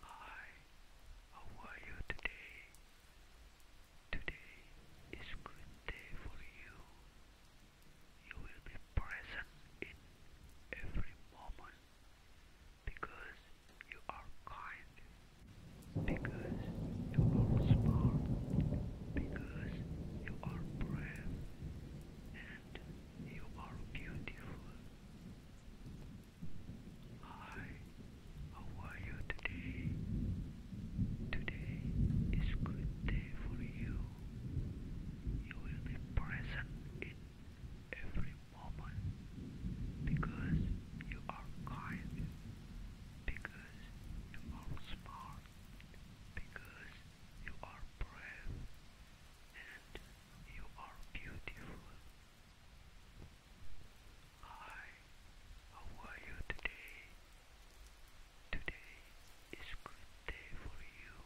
Hi, how are you today? Today is good day for you. You will be present in every moment because you are kind, because you are smart, because you are brave, and you are beautiful. Hi, how are you today? Today is good day for you. You will be present in every moment because you are kind, because you are smart, because you are brave, and you are beautiful. Hi, how are you today? Today is good day for you.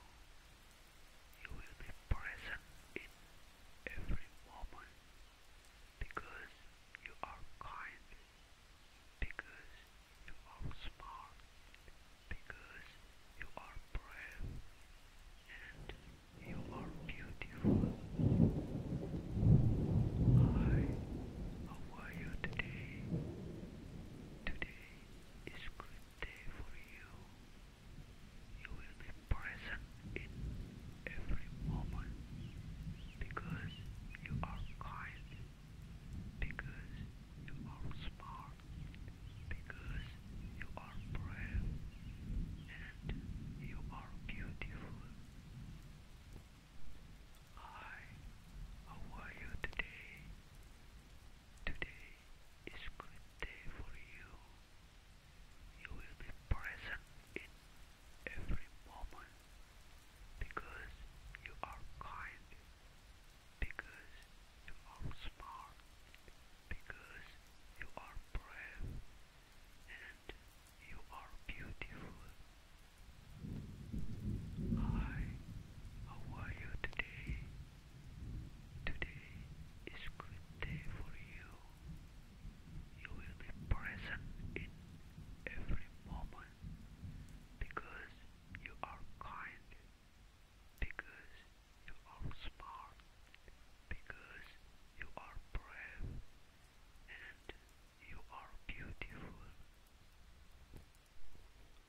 You will be present in every moment because you are kind, because you are smart, because you are brave, and you are beautiful. Hi, how are you today? Today is a good day for you. You will be present in every moment because you are kind, because you are smart because you are brave and you are beautiful. Hi, how are you today? Today is a good day for you. You will be present in every moment because you are kind, because you are smart, because you are brave and you are beautiful. Hi, how are you today? Today is a good day for you. You will be present in every moment because you are kind, because you are smart because you are brave and you are beautiful.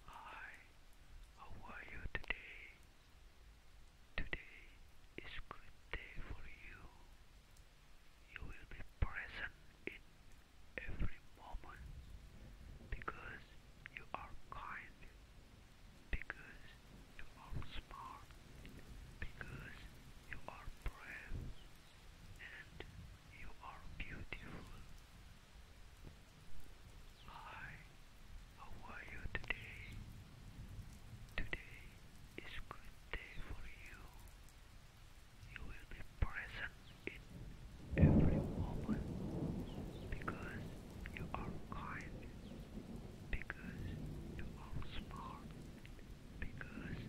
Hi, how are you today? Today is good day for you. You will be present in every moment because you are kind because you are smart, because you are brave, and you are beautiful. Hi, how are you today? Today is a good day for you. You will be present in every moment because you are kind because you are smart, because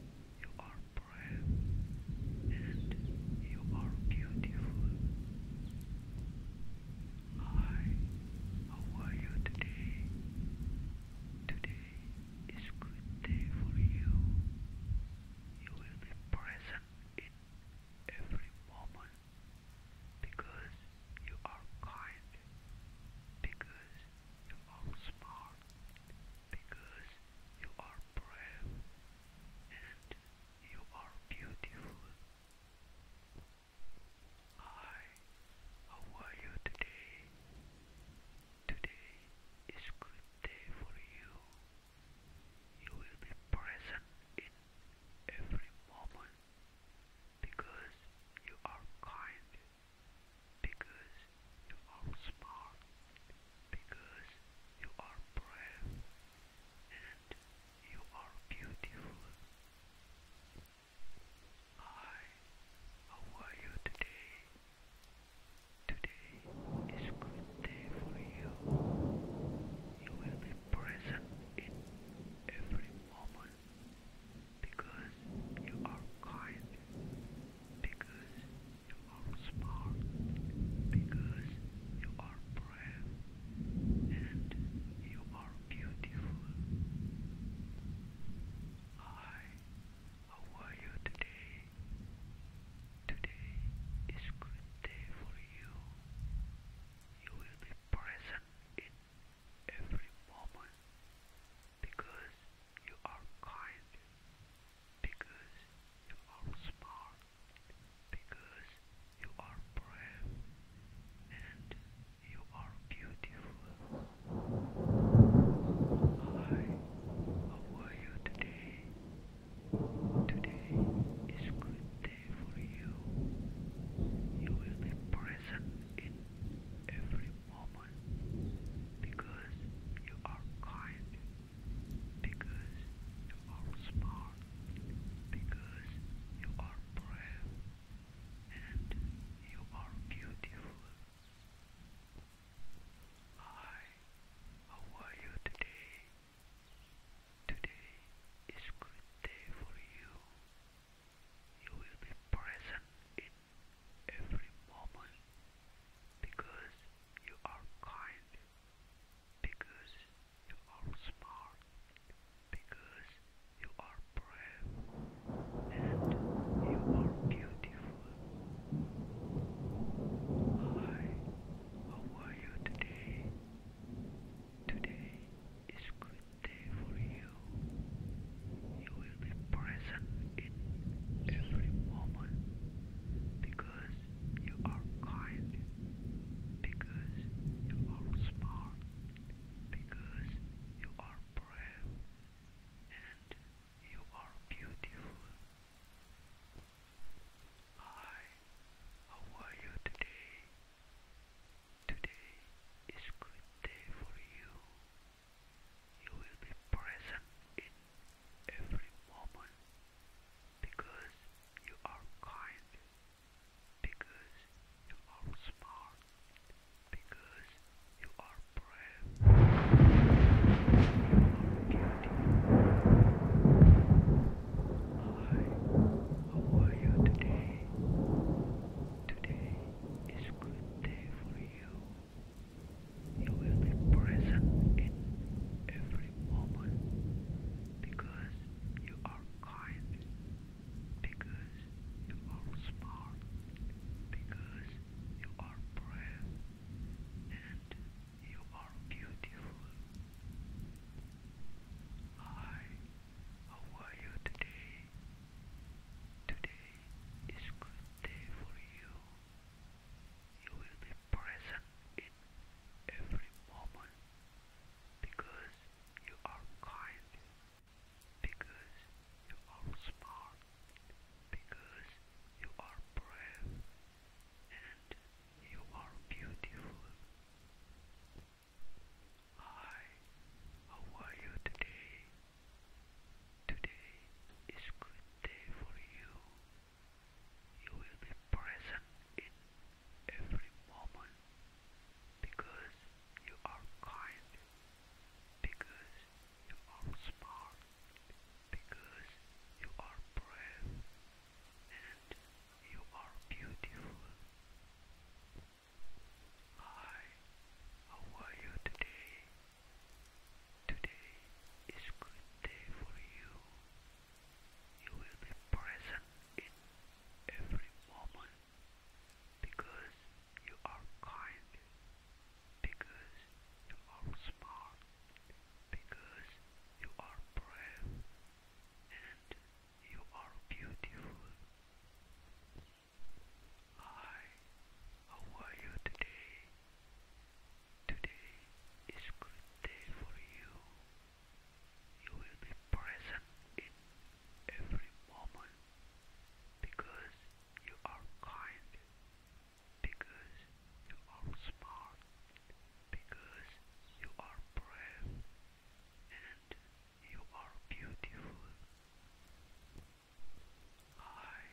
you are brave, and you are beautiful. Hi, how are you today? Today is a good day for you. You will be present in every moment because you are kind, because you are smart, because you are brave, and you are beautiful. Hi, how are you today? Today is good day for you. You will be present in every moment because you are kind, because you are smart, because you are brave, and you are beautiful. Hi, how you today? Today is a good day for you. You will be present in every moment because you are kind, because you are smart, because you are brave, and you are beautiful. Hi, how are you today? Today is a good day for you. You will be present in every moment because you are kind, because you are smart, because you are brave, and you are beautiful. Hi, how are you today? Today is a good day for you. You will be present in every moment because you are kind, because you are smart, because you are brave, and you are beautiful. Hi, how are you today? Today is a good day for you you will be present in every moment because you are kind, because you are smart, because you are brave, and you are beautiful. Hi, how are you today? Today is good day for you. You will be present in every moment because you are kind, because you are smart, because you are brave, and you are beautiful. Hi, how are you today? Today is good day for you. You will be present in every moment because you are kind, because you are smart, because you are brave, you are beautiful. Hi, how are you today? Today is a good day for you. You will be present in every moment because you are kind, because you are smart, because you are brave, and you are beautiful. Hi, how are you today? Today is good day for you. You will be present in every moment because you are kind, because you are smart, because you are brave, and you are beautiful. Hi, how are you today? Today is good day for you. You will be present in every moment because you are kind, because you are smart, because you are brave, and you are beautiful. Hi, how are you today? Today is good day for you. You will be present in every moment because you are kind, because you are smart, because you are brave, and you are beautiful. Hi, how are you today? Today is good day for you. You will be present in every moment because you are kind, because you are smart, because you are brave, and you are beautiful. Hi,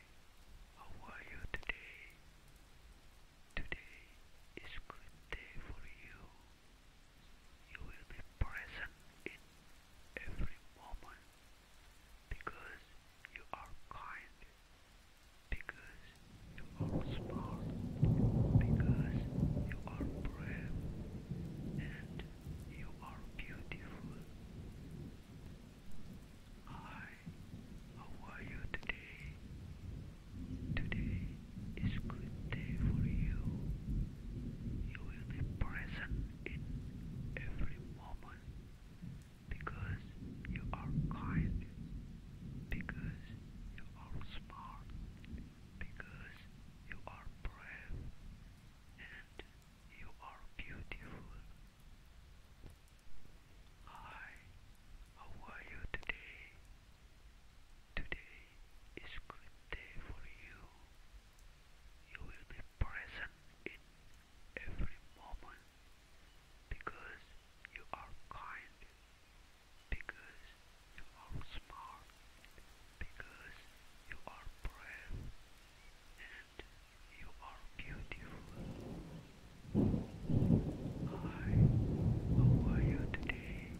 how are you today? Today is a good day for you. You will be present in every moment because you are kind, because you are smart, because you are brave, and you are beautiful. Hi, how are you today? Today is a good day for you. You will present in every moment because you are kind, because you are smart, because you are brave and you are beautiful. Hi, how are you today? Today is good day for you. You will be present in every moment because you are kind, because you are smart because you are brave and you are beautiful. Hi, how are you today?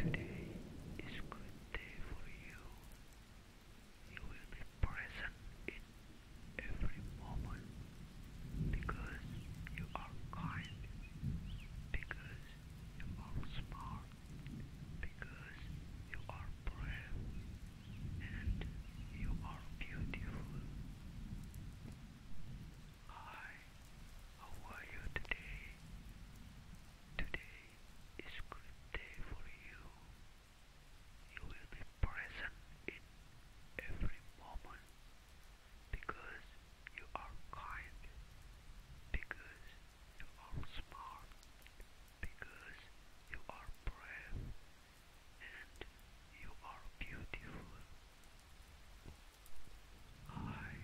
Today is a good day for you. You will be present in every moment because you are kind, because you are smart, because you are brave and you are beautiful. Hi, how are you today? Today is a good day for you. You will be present in every moment because you are kind, because you are smart because you are brave and you are beautiful. Hi,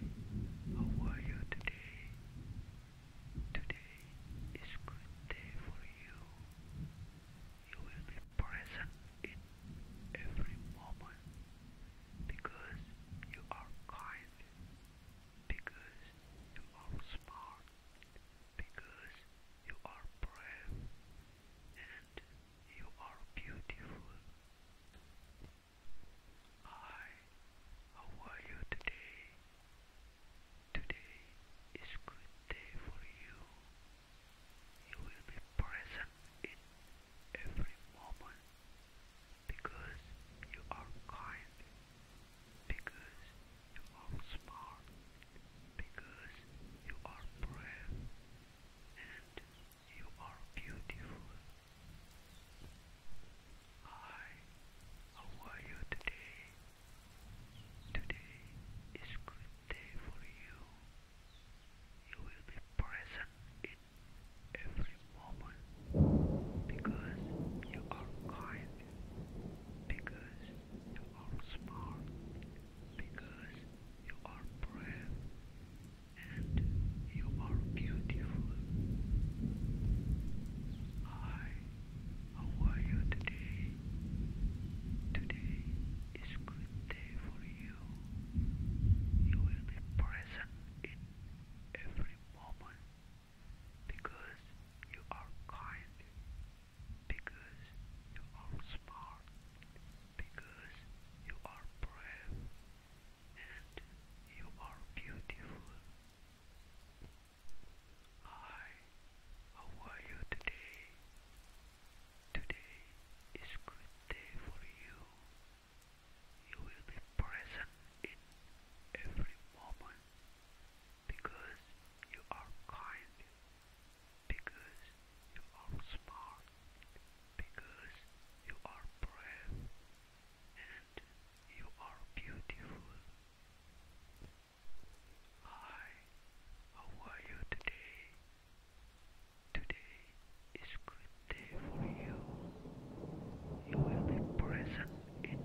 how are you today? Today is good day for you. You will be present in every moment because you are kind because you are smart, because you are brave, and you are beautiful. Hi, how are you today? Today is good day for you. You will be present in every moment because you are kind, because you are smart, because you are brave, and you are beautiful. Hi, how are you today? Today is a good day for you. You will be present every moment because you are kind, because you are smart, because you are brave, and you are beautiful. Hi, how are you today? Today is a good day for you. You will be present in every moment because you are kind, because you are smart, because you are brave, and you are beautiful. Hi, how are you today? Today is good day for you. You will be present in every moment because you are kind, because you are smart, because you are brave, and you are beautiful. Hi, how are you today? Today is good day for you. You will be present in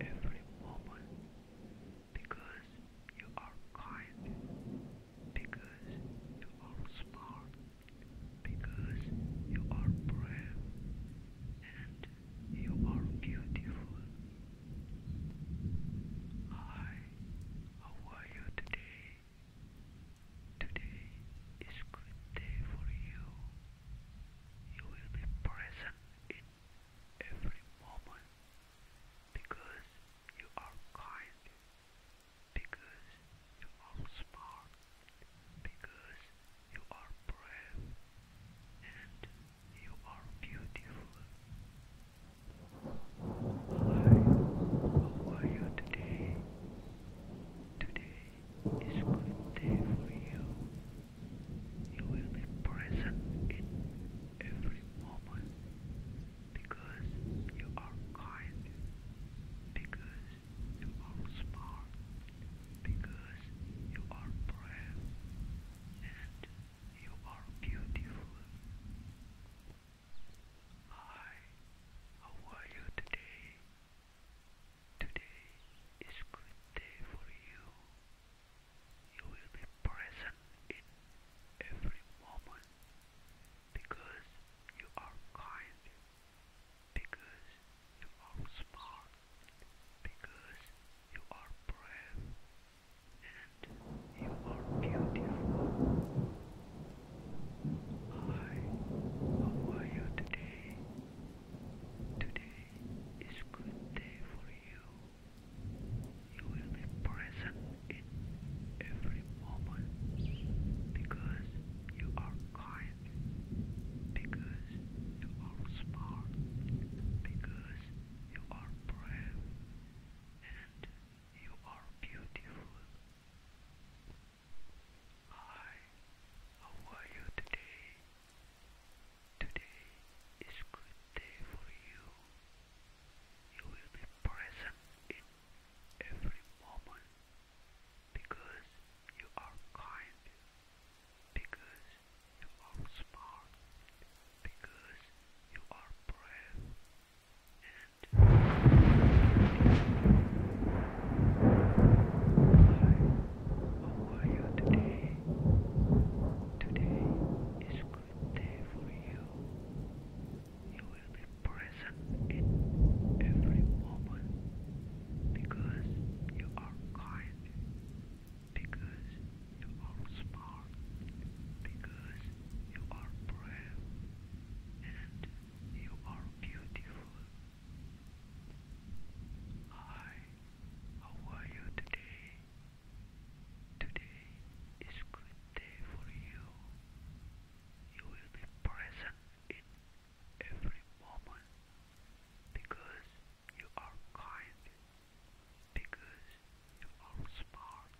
every moment because you are kind, because you are smart, because you are brave, and you are beautiful. Hi, how are you today? Today is good day for you. You will be present in every moment because you are kind, because you are smart, because you are brave, and you are beautiful. Hi, how are you today? Today is going day for you. You will be present in every moment because you are kind, because you are smart, because you are brave, and you are beautiful. Hi, how are you today? Today is good day for you. You will be present in every moment because you are kind, because you are smart, because you are brave, and you are beautiful. Hi, how are you today? Today is a good day for you. You will be present in every moment because you are kind, because you are smart, because you are brave, and you are beautiful. Hi, how are you today? Today is good day for you. You will be present in every moment because you are kind, because you are smart, because you are brave and how are you today? Today is a good day for you. You will be present in every moment because you are kind, because you are smart, because you are brave, and you are beautiful. Hi, how are you today? Today is good day for you. You will be present in every moment because you are kind, because you are smart,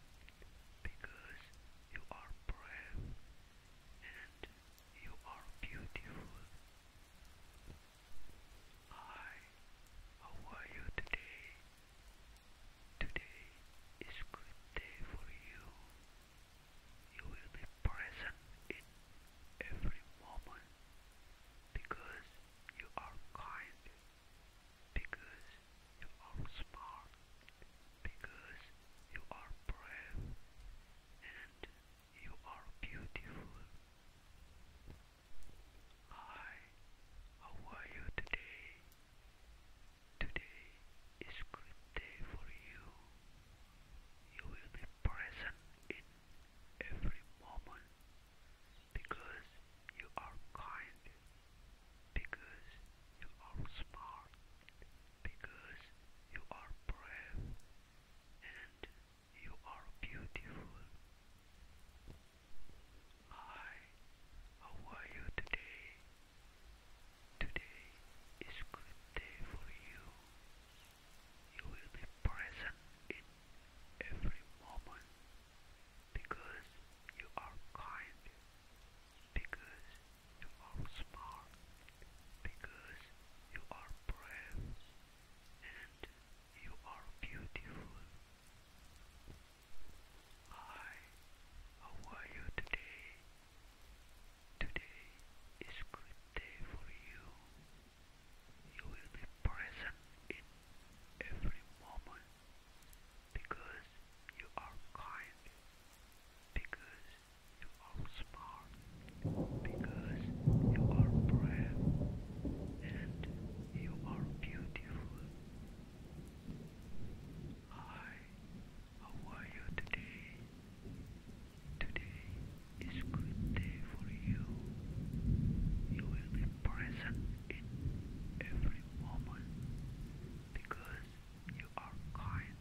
because you are brave, and you are beautiful. Hi, how are you today? Today is good day for you. You will be present in every moment because you are kind, because you are smart, because you are brave, and you are beautiful. Hi, how are you today? Today is good day for you. You will be present in every moment because you are kind, because you are smart, because you are brave, and you are beautiful. Hi, how are you today? Today is a good day for you. You will be present in every moment because you are kind, because you are smart, because you are brave and you are beautiful. Hi, how are you today? Today is good day for you. You will be present in every moment because you are kind, because you are smart because you are brave and you are beautiful. Hi, how are you today? Today is good day for you. You will be present in every moment because you are kind,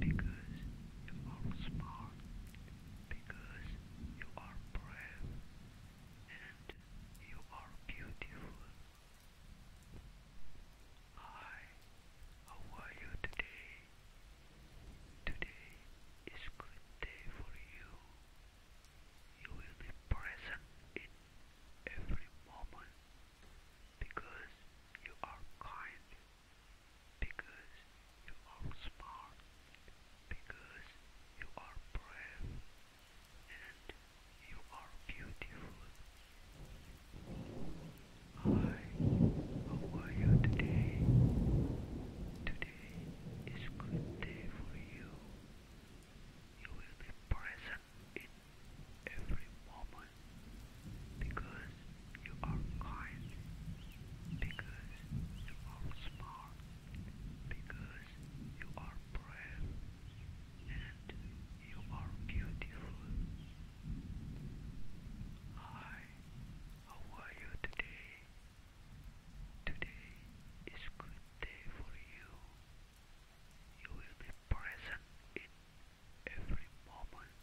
because you are smart because you are brave and you are beautiful. Hi, how are you today? Today is good day for you. You will be present in every moment because you are kind because you are smart, because you are brave, and you are beautiful. Hi, how are you today? Today is a good day for you. You will be present in every moment because you are kind, because you are smart, because you are brave, and you are beautiful. Hi, how are you today? Today is a good day for you. You will be present in every moment.